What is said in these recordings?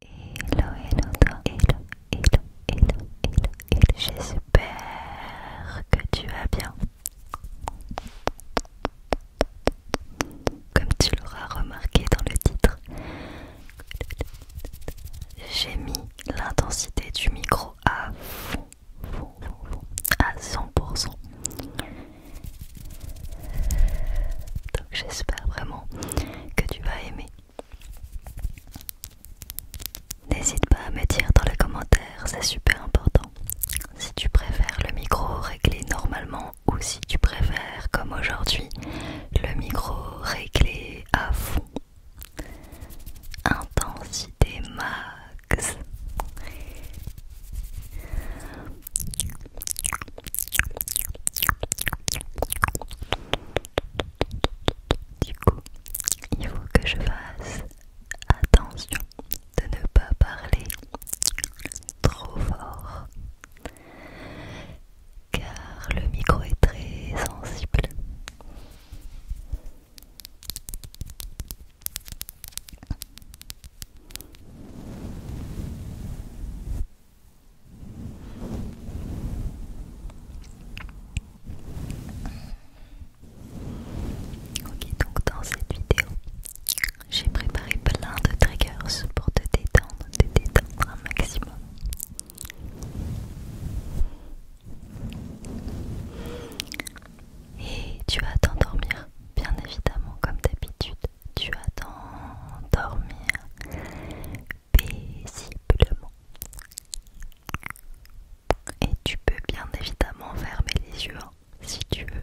Hello, hello, Hello, hello, hello, J'espère que tu vas bien. Comme tu l'auras remarqué dans le titre, j'ai mis l'intensité du micro à à 100%. Donc j'espère vraiment que tu vas aimer N'hésite pas à me dire dans les commentaires, c'est super important. Si tu préfères le micro réglé normalement ou si tu préfères, comme aujourd'hui, le micro réglé à fond. Intensité max. Du coup, il faut que je fasse attention de ne pas parler trop fort car le micro est très sensible. Ok, donc dans cette vidéo, j'ai préparé plein de triggers pour te détendre, te détendre un maximum. Et tu vas t'endormir, bien évidemment, comme d'habitude tu vas dormir paisiblement. Et tu peux bien évidemment fermer les yeux hein, si tu veux.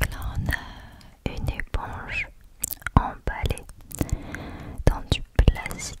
là on a une éponge emballée dans du plastique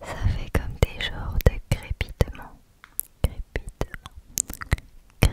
Ça fait comme des genres de crépitement Crépitement Cré...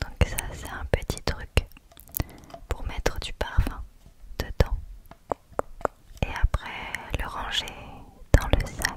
Donc ça c'est un petit truc pour mettre du parfum dedans et après le ranger dans le sac.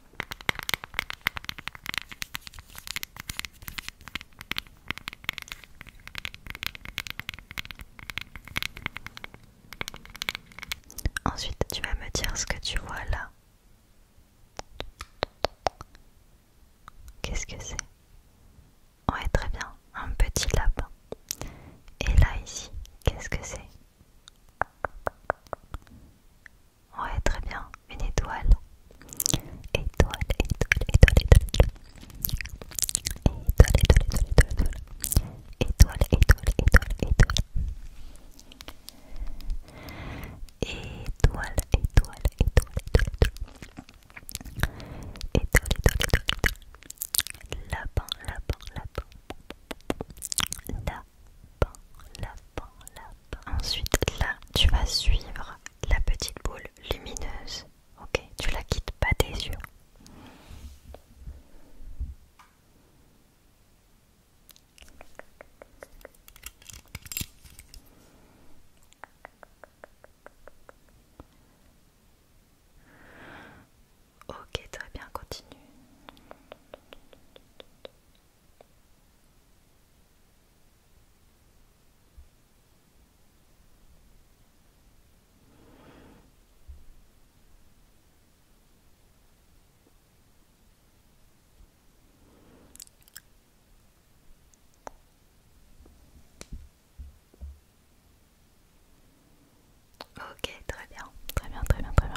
Ensuite, tu vas me dire ce que tu vois là. Qu'est-ce que c'est Ouais, très bien, un petit lapin. Et là, ici, qu'est-ce que c'est Ouais, très bien. Une étoile. Étoile, étoile, étoile, étoile. Étoile, étoile, étoile, étoile, étoile. Étoile, étoile, étoile, étoile. Étoile, étoile, étoile, étoile. Ensuite, là, tu vas suivre la petite boule lumineuse. Ok, tu la quittes pas des yeux. Ok, très bien, continue. Ok, très bien, très bien, très bien, très bien.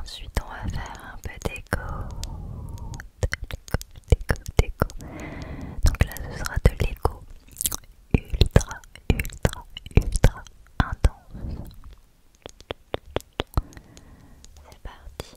Ensuite, on va faire un peu d'écho donc là, ce sera de l'écho ultra, ultra, ultra intense. C'est parti.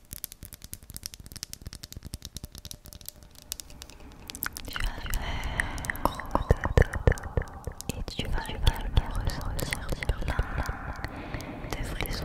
Tu vas faire et tu vas également ressentir plein de frissons.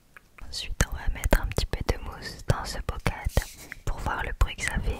Ensuite, on va mettre un petit peu de mousse dans ce bocad pour voir le bruit que ça fait.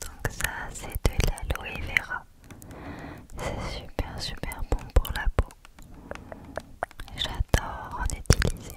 Donc ça c'est de l'aloe vera. C'est super super bon pour la peau. J'adore en utiliser.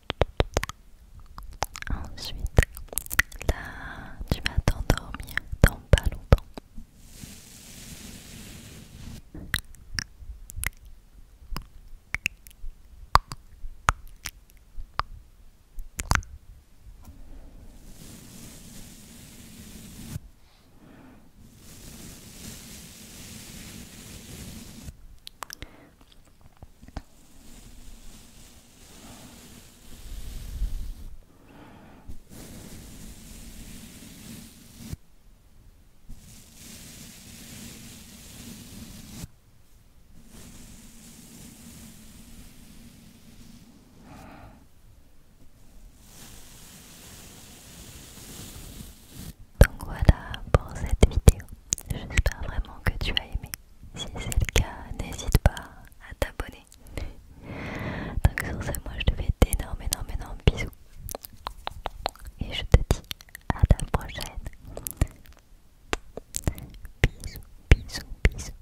Ensuite, là, tu vas t'endormir dans pas longtemps. Donc voilà pour cette vidéo. J'espère vraiment que tu as aimé. Si c'est le cas, n'hésite pas à t'abonner. Donc sur ce, moi je te fais d'énormes, énormes, énormes bisous. Et je te dis à la prochaine. bisous, bisous, bisous.